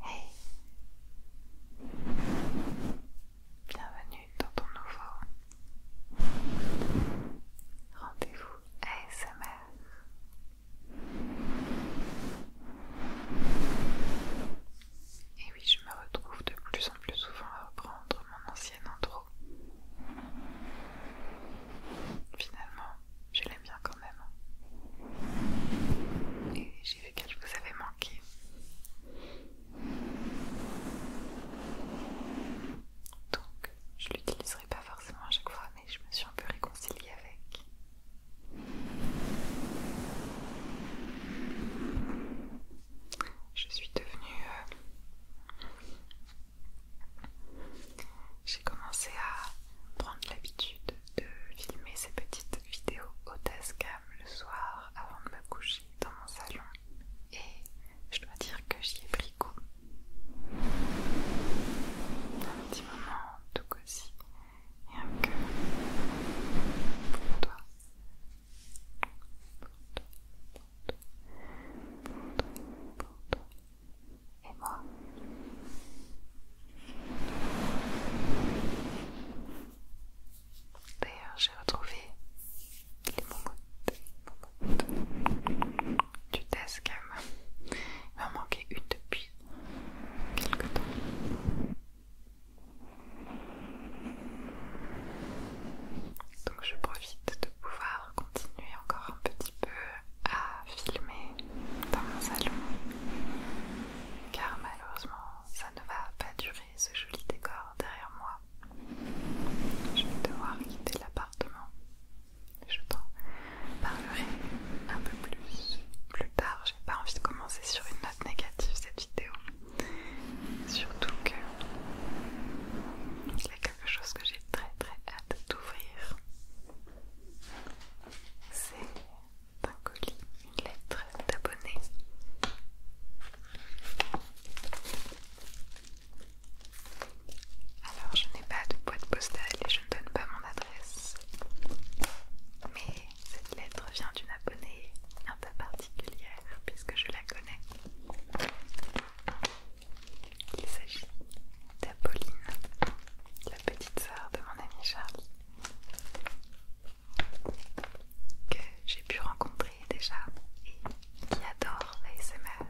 Hey Bienvenue dans ton nouveau rendez-vous ASMR. Et oui, je me retrouve de plus en plus souvent à reprendre mon ancienne intro. Finalement, je l'aime bien quand même. Et j'ai vu qu'elle vous avait manqué. Donc, je l'utiliserai pas forcément à chaque fois, mais je me suis un peu réconciliée avec. Je suis devenue. Euh, j'ai commencé à prendre l'habitude de filmer ces petites vidéos au TASCAM le soir avant de me coucher dans mon salon et je dois dire que j'y ai pris goût. Un petit moment tout Et un cœur pour toi. Pour toi, pour toi, pour toi, pour toi, et moi. D'ailleurs, j'ai retrouvé les bonbons du test même. Il m'en manquait une depuis quelque temps. Donc je profite de pouvoir continuer encore un petit peu à filmer dans mon salon car malheureusement ça ne va pas durer ce joli décor derrière moi. Je vais devoir quitter l'appartement. Je t'en parlerai un peu plus plus tard. J'ai pas envie de commencer sur une note négative cette vidéo. Surtout que il y a quelque chose que j'ai très très hâte d'ouvrir c'est un colis, une lettre d'abonné. Alors je n'ai pas de boîte postale et je ne donne pas mon adresse. Mais cette lettre vient d'une abonnée un peu particulière puisque je la connais. Il s'agit d'Apolline, la petite sœur de mon ami Charlie, que j'ai pu rencontrer déjà et qui adore l'ASMR.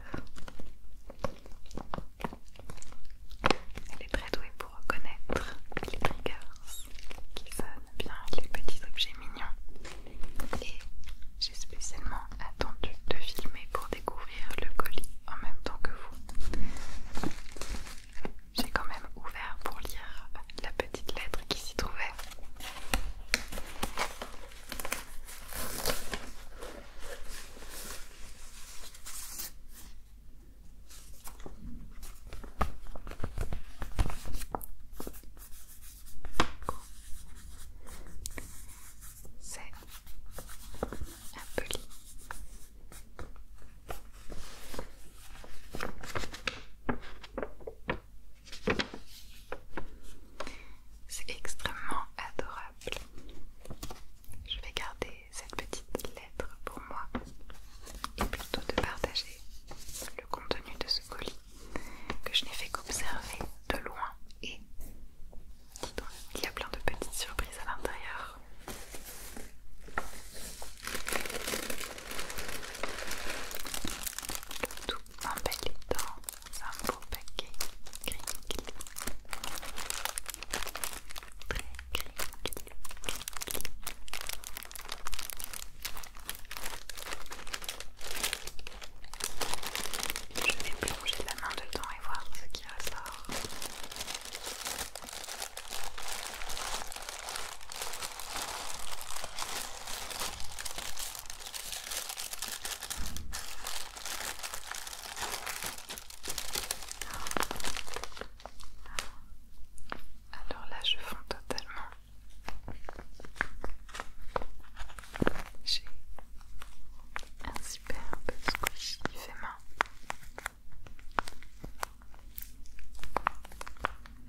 Elle est très douée pour reconnaître les triggers qui sonnent bien, les petits objets mignons. Et j'ai spécialement attendu de filmer pour découvrir le colis en même temps que vous. J'ai quand même ouvert pour lire la petite lettre qui s'y trouvait. C'est colis. C'est extrêmement adorable. Je vais garder cette petite lettre pour moi et plutôt de partager le contenu de ce colis que je n'ai fait qu'observer de loin et il y a plein de petites surprises à l'intérieur. Le tout emballé dans un beau paquet cric Très Je vais plonger la main dedans et voir ce qui ressort. Alors là, je fonds totalement. J'ai un super superbe squishy fait main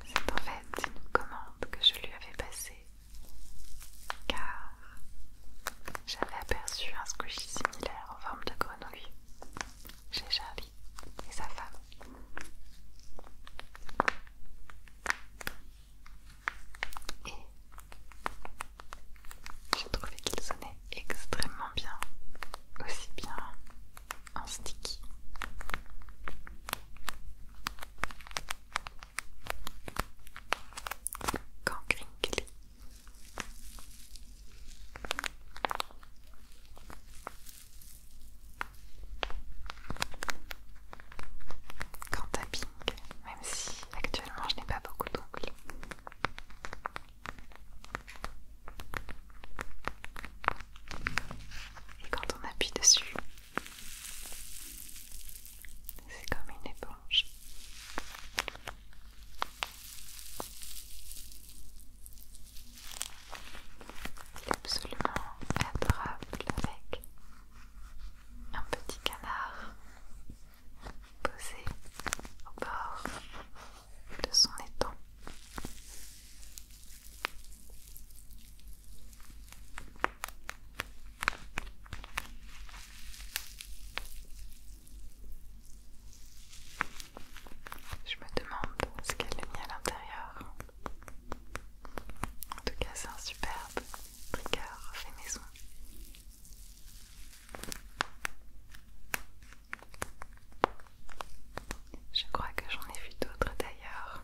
c'est en fait une commande que je lui avais passée car j'avais aperçu un squishy similaire en forme de grenouille chez Charlie et sa femme. Et j'ai trouvé qu'il sonnait extrêmement bien, aussi bien en sticky. Quand crinkly. Quand même si actuellement je n'ai pas beaucoup d'ongles. Et quand on appuie dessus, c'est comme une éponge. C'est absolument adorable avec un petit canard posé au bord de son étang. Je me demande ce qu'elle a mis à l'intérieur. En tout cas, c'est un superbe tricard fait maison je crois que j'en ai vu d'autres d'ailleurs.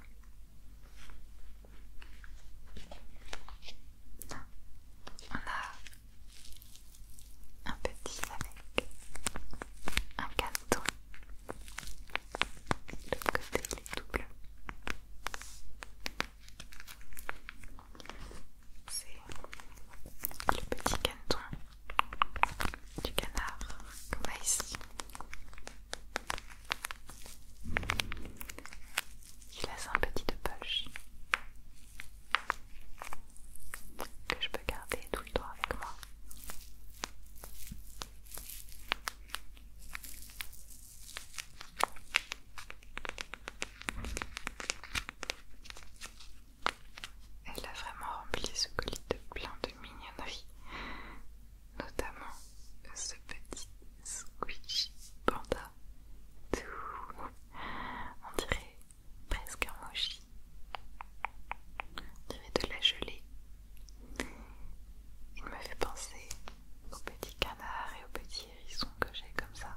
On a un petit avec un cadeau. le l'autre côté, il est tout c'est le petit canton du canard qu'on a ici. Il a un petit de poche que je peux garder tout le temps avec moi. Elle a vraiment rempli ce colis de plein de mignonneries, notamment ce petit squishy panda tout, on dirait presque un mochi, on dirait de la gelée. Il me fait penser aux petits canards et aux petits hérissons que j'ai comme ça,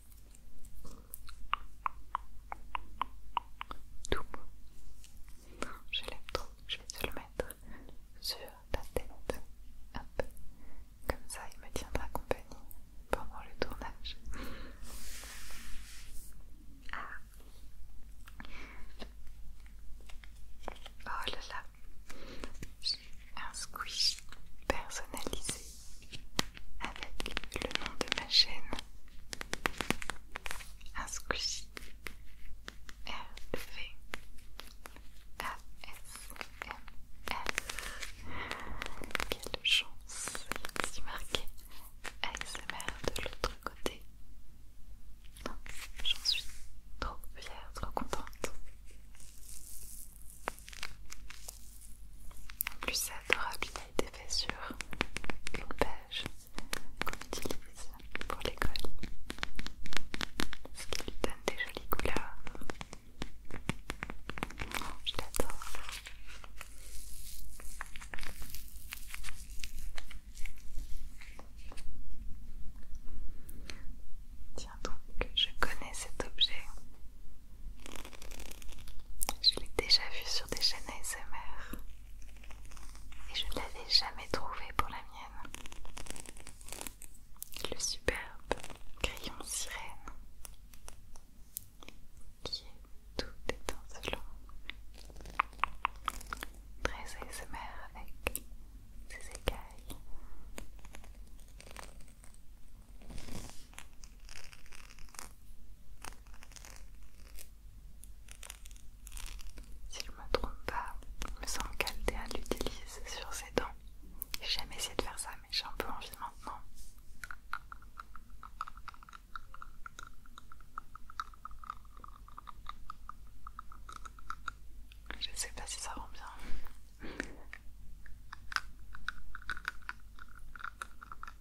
Tout beau. Je l'aime trop. Je vais te le mettre sur ta tête. Hop. Comme ça, il me tiendra compagnie pendant le tournage. Ah. Oh là là, un squish personnalisé avec le nom de ma chaîne un squishy m ASMR Quelle chance C'est marqué ASMR de l'autre côté J'en suis trop fière, trop contente en plus, c'est adorable, il a été fait sur une page qu'on utilise pour l'école, ce qui lui donne des jolies couleurs. je l'adore. Tiens donc, je connais cet objet. Je l'ai déjà vu sur des chaînes ASMR et je ne l'avais jamais trouvé pour la mienne. Le superbe crayon sirène qui est tout étincelant, très ASMR avec ses écailles. Si je me trompe pas, il me semble à l'utilise sur ses dents. J'ai jamais essayé de faire ça, mais j'ai un peu envie maintenant. Je sais pas si ça rend bien.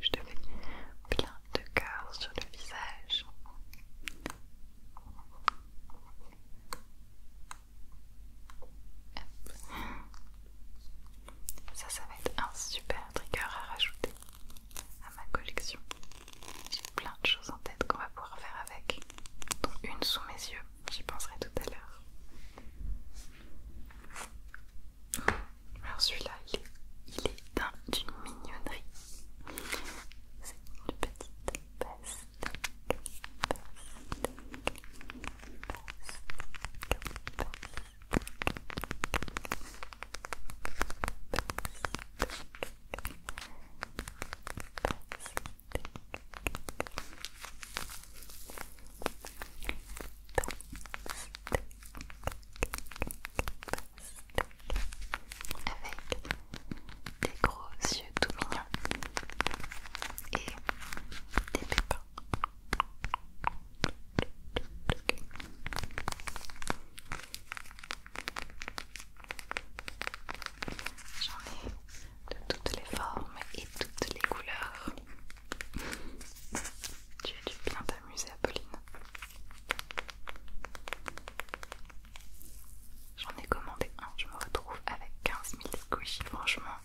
Je te fais plein de cœurs sur le visage. Ça, ça va être un super trigger à rajouter à ma collection. J'ai plein de choses en tête qu'on va pouvoir faire avec, dont une sous mes yeux j'y penserai tout à l'heure. Alors celui-là, il, est d'une mignonnerie. C'est une petite avec des gros yeux tout mignons et des pépins. J'en ai de toutes les formes et toutes les couleurs. Tu as dû bien t'amuser, Apolline. J'en ai commandé un, je me retrouve avec 15 000 squishies, franchement.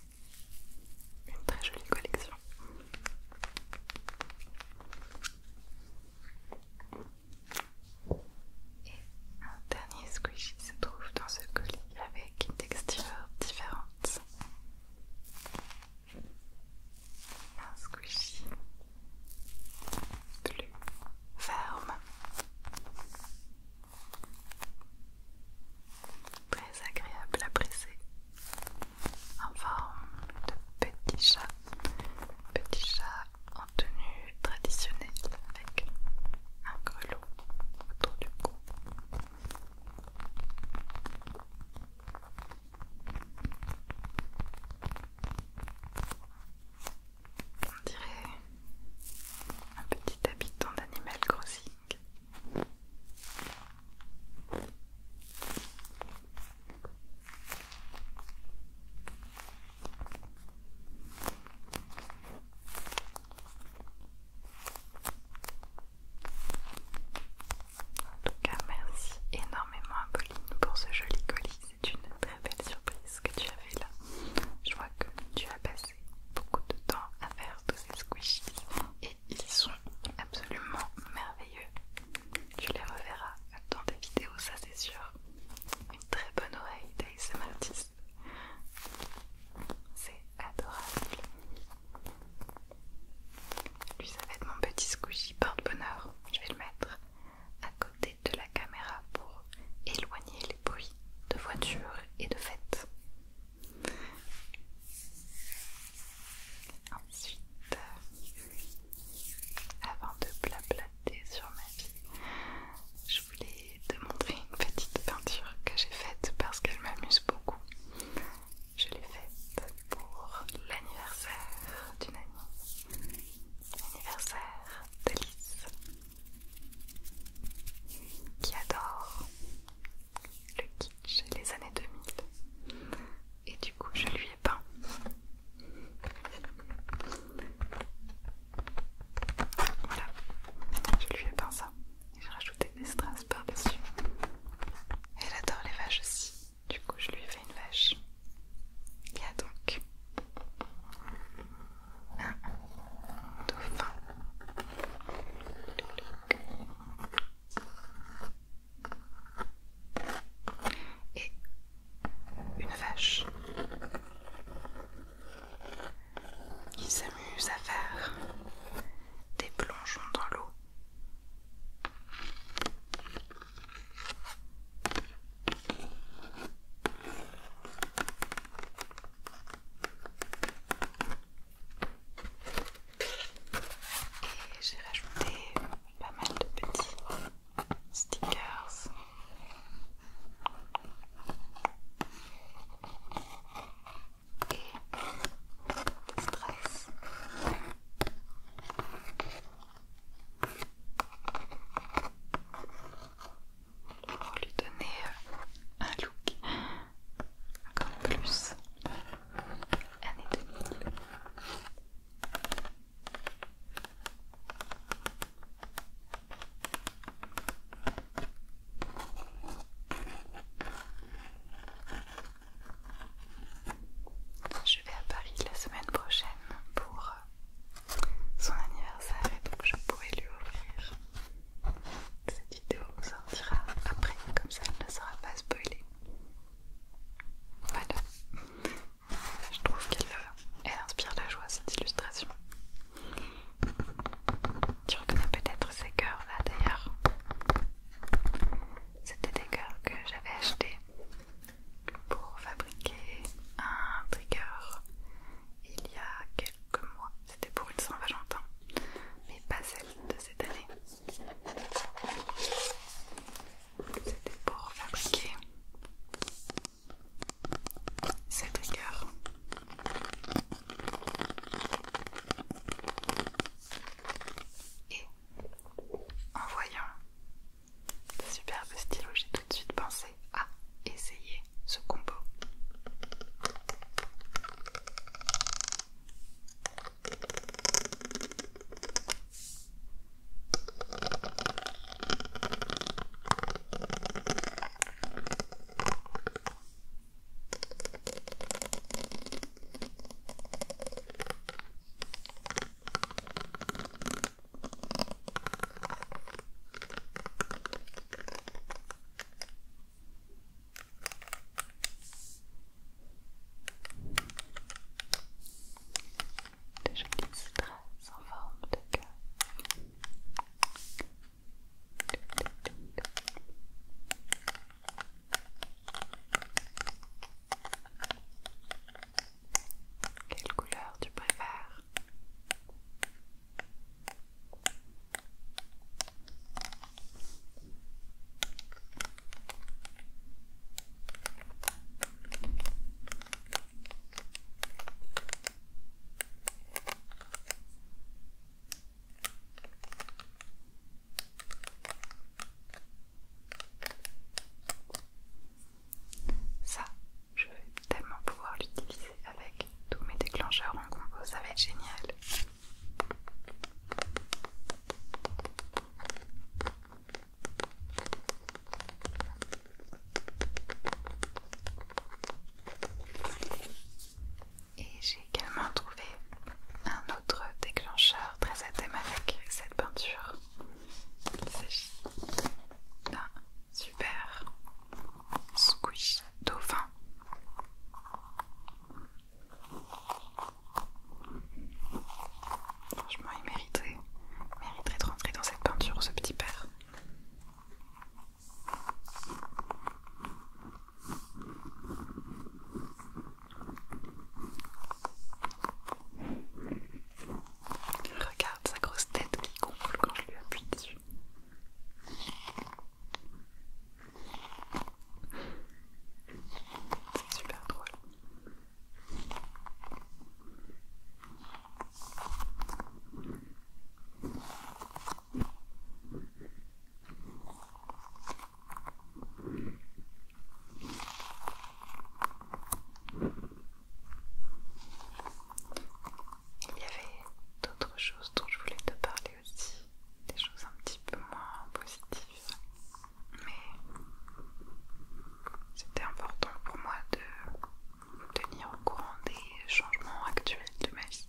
Une très jolie collection. Et un dernier dernier squishy se trouve dans ce colis avec une texture différente. Un squishy plus ferme, très agréable à presser, en forme de petit chat, petit chat en tenue traditionnelle avec un grelot autour du cou. On dirait un petit habitant d'Animal Crossing. En tout cas, merci énormément à Pauline pour ce joli colis. C'est une très belle surprise que tu as fait là. Je vois que tu as passé beaucoup de temps à faire tous ces squishies et ils sont absolument merveilleux. Tu les reverras dans des vidéos, ça c'est sûr. Une très bonne oreille Daisy c'est adorable. Lui, ça va être mon petit squishy porte-bonheur. Je vais le mettre à côté de la caméra pour éloigner les bruits de voiture et de fêtes. Ensuite, avant de blablater sur ma vie, je voulais te montrer une petite peinture que j'ai faite parce qu'elle m'amuse beaucoup. Je l'ai faite pour l'anniversaire d'une amie, l'anniversaire d'Alice, qui adore le kitsch et les années 2000. Et du coup, je lui ai peint. Voilà, je lui ai peint ça j'ai rajouté des strass par-dessus. Elle adore les vaches aussi, du coup je lui fais une vache. Il y a donc un dauphin. Et une vache il s'amuse à faire des plongeons dans l'eau. Et j'ai rajouté pas mal de petits stickers et stress. Pour lui donner euh, un look encore plus année 2000. Je vais à Paris la semaine prochaine pour euh, son anniversaire et donc je pourrais lui offrir. Cette vidéo sortira après, comme ça elle ne sera pas spoilée. Voilà. Je trouve qu'elle euh, inspire la joie cette illustration. Tu reconnais peut-être ces cœurs là d'ailleurs. C'était des cœurs que j'avais achetés pour fabriquer un trigger il y a quelques mois. C'était pour une Saint-Valentin, mais pas celle de cette année. C'était pour fabriquer ces triggers et en voyant ce superbe stylo, j'ai tout de suite pensé à essayer ce combo. Déjà jolies traces en forme de cœur. Quelle couleur tu préfères ça, je vais tellement pouvoir l'utiliser avec tous mes déclencheurs en combo, ça va être génial. Et j'ai également trouvé un autre déclencheur très à thème avec cette peinture. Il s'agit super squish dauphin. Franchement, il mériterait, il de rentrer dans cette peinture, ce petit père. Regarde sa grosse tête qui gonfle quand je lui appuie dessus. C'est super drôle. Il y avait d'autres choses dont je voulais te parler aussi, des choses un petit peu moins positives, mais c'était important pour moi de tenir au courant des les changements actuels de ma vie.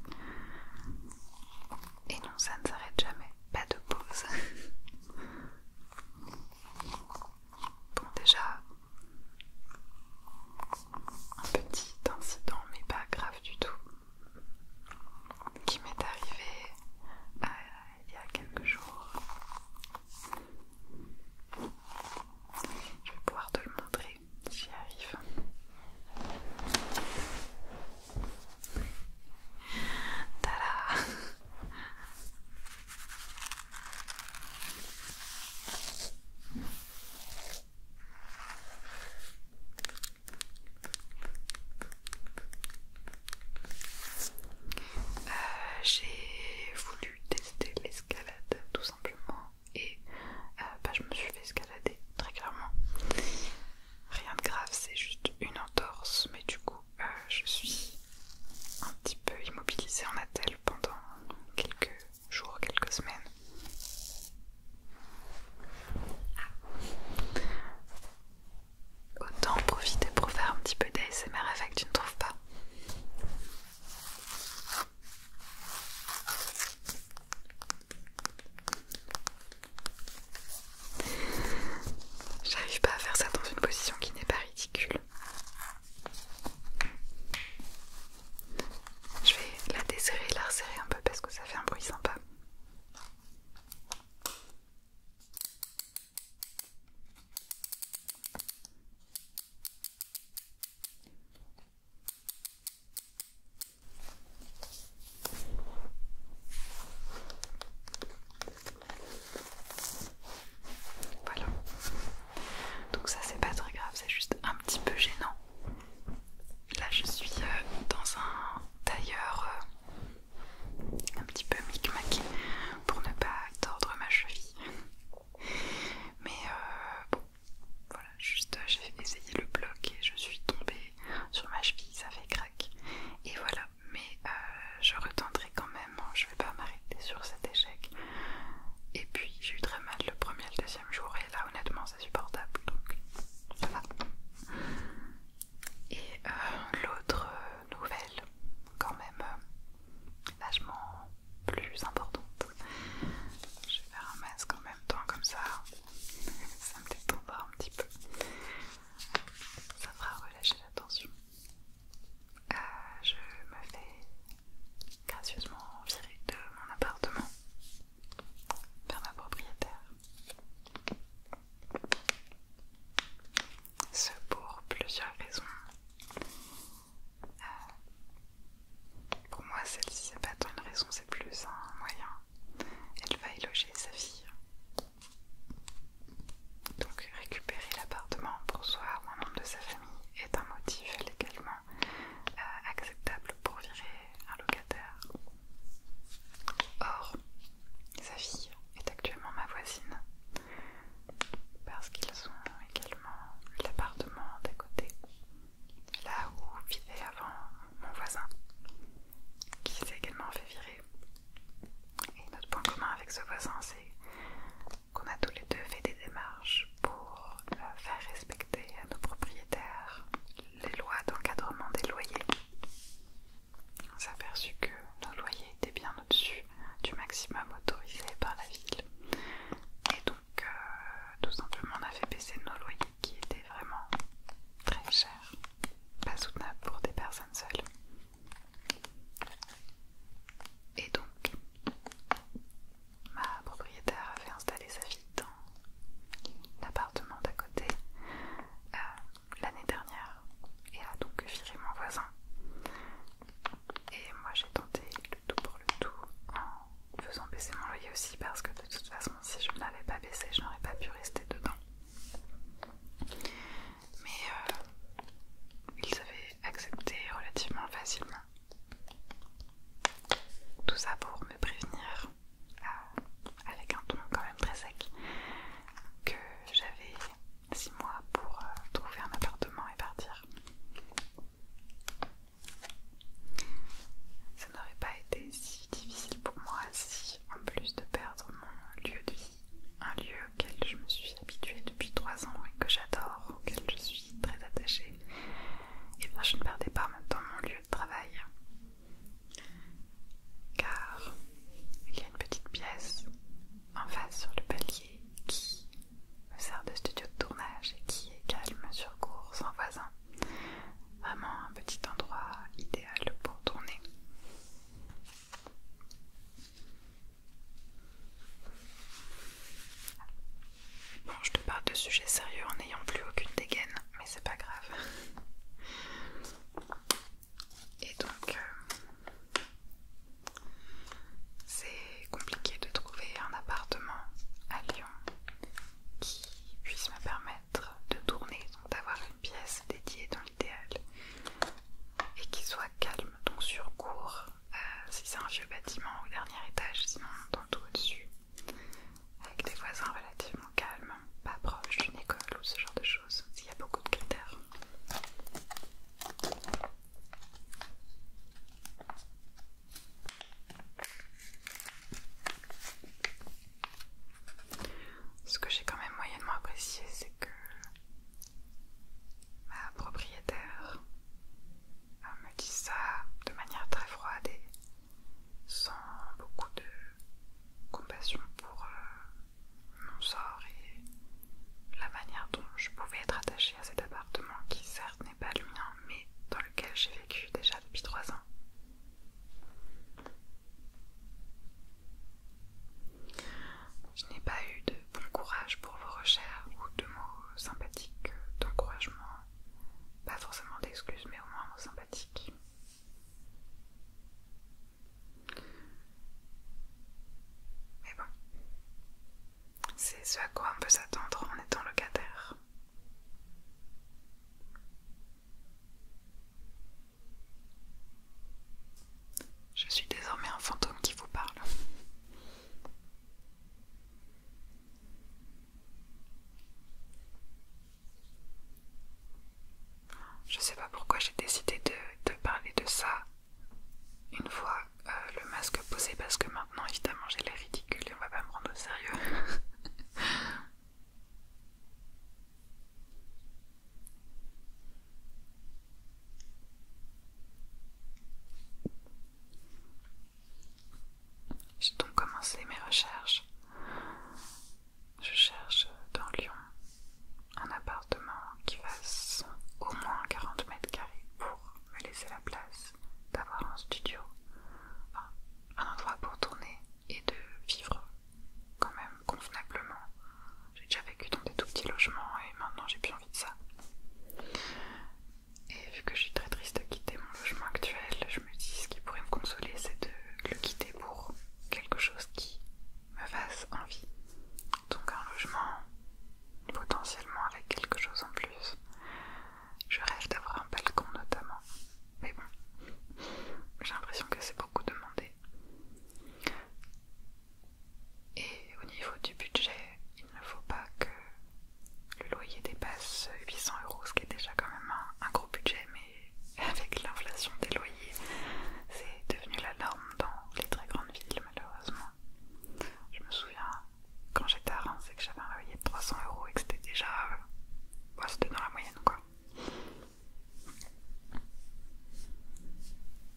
Et non, ça ne s'arrête jamais, pas de pause. bon, déjà, un petit incident, mais pas grave du tout, qui m'est arrivé euh, il y a quelques jours. Je vais pouvoir te le montrer j'y arrive. Euh, j'ai voulu tester l'escalade tout simplement et euh, bah, je me suis fait escalader très clairement. Rien de grave, c'est juste une entorse, mais du coup euh, je suis un petit peu immobilisée en attelle pendant quelques jours, quelques semaines. Ah. Autant profiter pour faire un petit peu d'ASMR avec, tu ne trouves pas J'arrive pas à faire ça dans une position qui n'est pas ridicule. Je vais la desserrer, la resserrer un peu parce que ça fait un bruit sympa. Voilà. Donc ça c'est pas très grave, c'est juste un petit peu gênant. Là je suis euh, dans un tailleur euh, un petit peu micmac pour ne pas tordre ma cheville. Mais euh, voilà, juste euh, j'ai essayé le bloc et je suis tombée sur ma cheville, ça fait craque. Et voilà, mais euh, je retenterai quand même, hein, je ne vais pas m'arrêter sur cet échec. Et puis j'ai eu très mal le premier et le deuxième jour, et là honnêtement c'est supportable donc ça va. Et euh, l'autre nouvelle, quand même vachement plus importante, je vais faire un masque en même temps comme ça. Ça me détendra un petit peu. Ça fera relâcher la tension. Euh, je me fais gracieusement virer de mon appartement vers ma propriétaire. Ce pour plusieurs raisons. Euh, pour moi, celle-ci, n'est pas tant une raison, c'est plus un moyen. Elle va éloger sa fille. Donc, récupérer l'appartement pour soi ou un membre de sa famille est un motif légalement euh, acceptable pour virer un locataire. Or, sa fille est actuellement ma voisine parce qu'ils ont également l'appartement d'à côté là où vivait avant mon voisin, qui s'est également fait virer. Et notre point commun avec ce voisin, c'est qu'on a tous les deux fait des démarches pour euh, faire respecter à nos propriétaires les lois d'encadrement des loyers. On s'est aperçu que nos loyers étaient bien au-dessus du maximum autorisé par la ville. Et donc, euh, tout simplement, on a fait baisser nos loyers qui était vraiment très cher, pas soutenable pour des personnes seules. Et donc, ma propriétaire avait installé sa fille dans l'appartement d'à côté euh, l'année dernière et a donc viré mon voisin. Et moi j'ai tenté le tout pour le tout en faisant baisser mon loyer aussi parce que de toute façon si je ne l'avais pas baissé je n'aurais pas pu rester dedans mais euh, ils avaient accepté relativement facilement tout ça pour me prévenir euh, avec un ton quand même très sec que j'avais 6 mois pour euh, trouver un appartement et partir ça n'aurait pas été si difficile pour moi si, en plus de perdre mon lieu de vie, un lieu auquel je me suis habituée depuis trois ans et que j'adore, auquel je suis très attachée, et eh je ne perdais pas maintenant mon lieu de travail. Car il y a une petite pièce en face sur le palier qui me sert de studio de tournage et qui est calme sur cours sans voisin. Vraiment un petit endroit idéal pour tourner. Bon, je te parle de sujets sérieux en n'ayant plus aucune dégaine, mais c'est pas grave. Et donc, euh, c'est compliqué de trouver un appartement à Lyon qui puisse me permettre de tourner, donc d'avoir une pièce dédiée dans l'idéal et qui soit calme, donc sur cours, euh, si c'est un vieux bâtiment au dernier étage, sinon dans tout au-dessus, avec des voisins relativement calmes, pas proche d'une école ou ce genre de choses, s'il y a beaucoup de critères. Ce que j'ai quand même moyennement apprécié, c'est que ma propriétaire euh, me dit ça de manière très froide et sans beaucoup de compassion pour euh, mon sort et la manière dont je pouvais être attachée à cet appartement qui certes pas le mien, mais dans lequel j'ai vécu déjà depuis 3 ans. Je n'ai pas eu de bon courage pour vos recherches ou de mots sympathiques, d'encouragement, pas forcément d'excuses, mais au moins mots sympathiques. Mais bon, c'est ce à quoi on peut s'attendre en étant locataire. Je suis désormais un fantôme qui vous parle. Je sais pas pourquoi j'ai décidé de, parler de ça une fois euh, le masque posé parce que maintenant évidemment j'ai l'air ridicule et on va pas me prendre au sérieux. J'ai donc commencé mes recherches. Je cherche dans Lyon un appartement qui fasse au moins 40 mètres carrés pour me laisser la place d'avoir un studio un endroit pour tourner et de vivre quand même convenablement. J'ai déjà vécu dans des tout petits logements et maintenant j'ai plus envie de ça. Et vu que je suis très triste de quitter mon logement actuel, je me dis ce qui pourrait me consoler c'est de le quitter pour quelque chose qui me fasse envie. Donc un logement potentiellement avec quelque chose en plus. Je rêve d'avoir un balcon notamment. Mais bon, j'ai l'impression que c'est beaucoup demandé. Et au niveau du budget, il ne faut pas que le loyer dépasse 800 euros, ce qui est déjà quand même un, gros budget, mais avec l'inflation des loyers, c'est devenu la norme dans les très grandes villes malheureusement. Je me souviens quand j'étais à Reims c'est que j'avais un loyer de 300 euros et que c'était déjà. Euh, bah, c'était dans la moyenne quoi.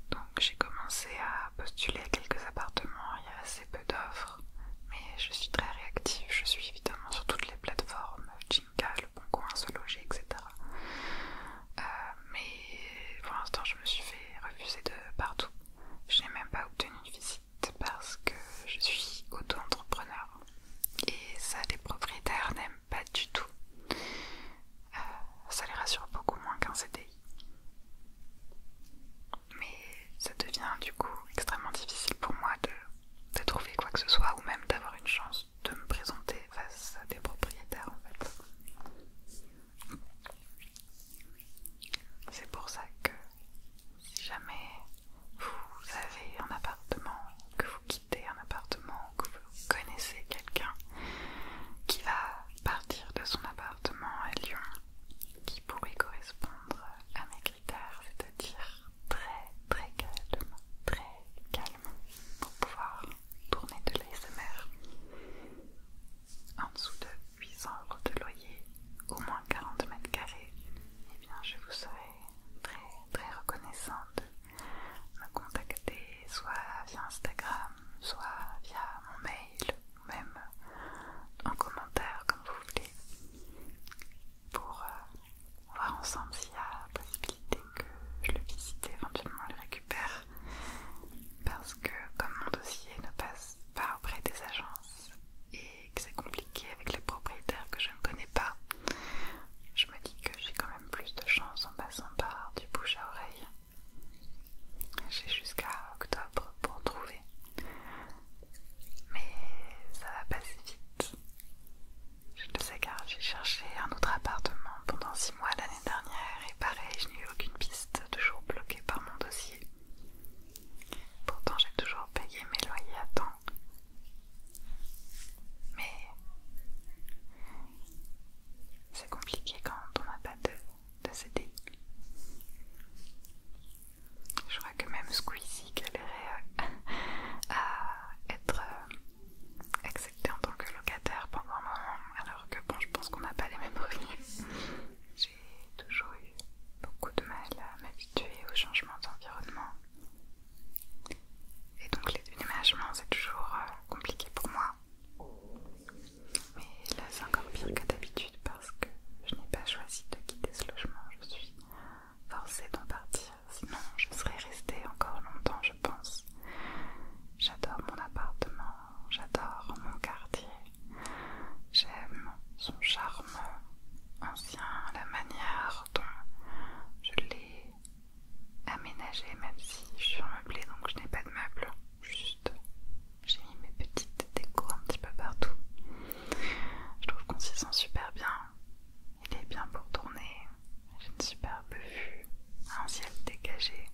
Donc j'ai commencé à postuler à quelques appartements, il y a assez peu d'offres, mais je suis très réactive, je suis évidemment sur toutes les plateformes, Jinka, Le Bon Coin, Se Loger, etc. Euh, mais pour l'instant je me suis fait refuser de partout. Je n'ai même pas obtenu une visite parce que je suis auto-entrepreneur et ça les propriétaires n'aiment pas du tout. Euh, ça les rassure beaucoup moins qu'un CDI. Mais ça devient du coup extrêmement difficile pour moi de trouver quoi que ce soit ou même d'avoir une chance de me présenter face à des propriétaires en fait. C'est pour ça que si jamais vous avez un appartement, que vous quittez un appartement, que vous connaissez quelqu'un qui va partir de son appartement à Lyon, qui pourrait correspondre à mes critères, c'est-à-dire très très calme, très calme, pour pouvoir tourner de l'ASMR. En dessous de 800 euros de loyer, au moins 40 mètres carrés, et eh bien je vous serai très très reconnaissante de me contacter soit via Instagram, soit via mon mail, ou même en commentaire comme vous voulez, pour euh, voir ensemble s'il y a possibilité que je le visite éventuellement le récupère, parce que comme mon dossier ne passe pas auprès des agences et que c'est compliqué avec les propriétaires que je ne connais pas, je me dis que j'ai quand même plus de chance en passant par du bouche à oreille. J'ai jusqu'à octobre pour trouver. Mais ça va passer vite. Je le sais car j'ai cherché un autre appartement pendant six mois l'année dernière et pareil, je n'ai eu aucune piste, toujours bloquée par mon dossier. Pourtant, j'ai toujours payé mes loyers à temps. Mais c'est compliqué quand on n'a pas de, de Je crois que même Squeezie galérait euh, à, être euh, accepté en tant que locataire pendant un moment, alors que bon, je pense qu'on n'a pas les mêmes revenus j'ai toujours eu beaucoup de mal à m'habituer aux changements d'environnement. Et donc les déménagements, c'est toujours euh, compliqué pour moi. Mais là, c'est encore pire que d'habitude parce que je n'ai pas choisi de quitter ce logement. Je suis forcée d'en partir. Sinon, je serais restée encore longtemps, je pense. J'adore mon appartement, j'adore mon quartier. J'aime son charme, ancien, la manière dont je l'ai aménagé, même si je suis meublée donc je n'ai pas de meubles. juste j'ai mis mes petites décos un petit peu partout. Je trouve qu'on s'y sent super bien, il est bien pour tourner, j'ai une superbe vue, un ciel dégagé,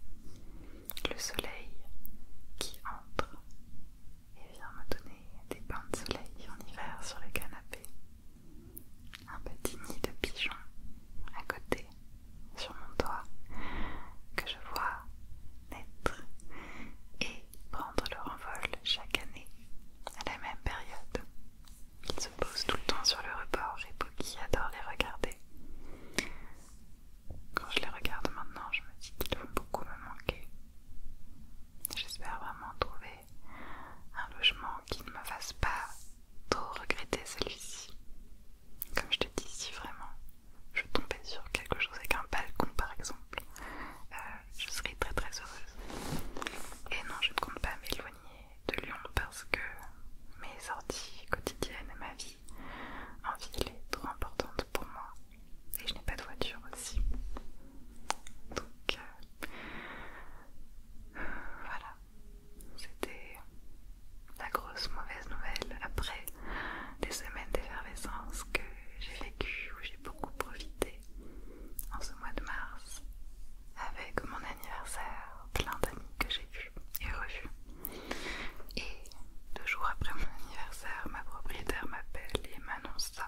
le soleil qui entre et vient me donner des bains de soleil en hiver sur le canapé. Un petit nid de pigeons à côté, sur mon toit, que je vois naître et prendre leur envol chaque année à la même période. Ils se posent tout le temps sur le rebord et qui adore les regarder. Quand je les regarde maintenant, je me dis qu'ils vont beaucoup me manquer. J'espère vraiment trouver un logement qui ne me fasse pas trop regretter celui-ci. Comme je te dis, si vraiment je tombais sur quelque chose avec un balcon par exemple, euh, je serais très très heureuse. Et non, je ne compte pas m'éloigner de Lyon parce que mes sorties quotidiennes et ma vie en ville est trop importante pour moi. Et je n'ai pas de voiture aussi. Donc euh, voilà, c'était la grosse mauvaise nouvelle après des semaines d'effervescence que j'ai vécues, où j'ai beaucoup profité en ce mois de mars avec mon anniversaire, plein d'amis que j'ai vus et revus. Et deux jours après mon anniversaire, ma propriétaire m'appelle et m'annonce ça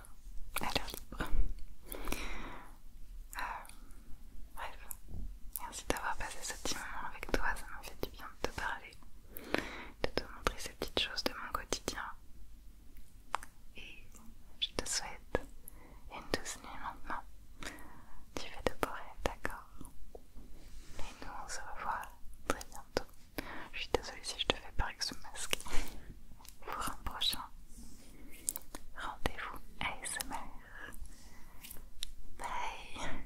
euh, à l'heure libre. Euh, bref, merci d'avoir passé ce petit moment avec toi, ça m'a fait du bien de te parler, de te montrer ces petites choses de mon quotidien. Et je te souhaite une douce nuit maintenant. Tu fais de beaux d'accord Et nous, on se revoit très bientôt. Je suis désolée si je te fais parler avec ce masque. Pour un prochain rendez-vous ASMR. Bye!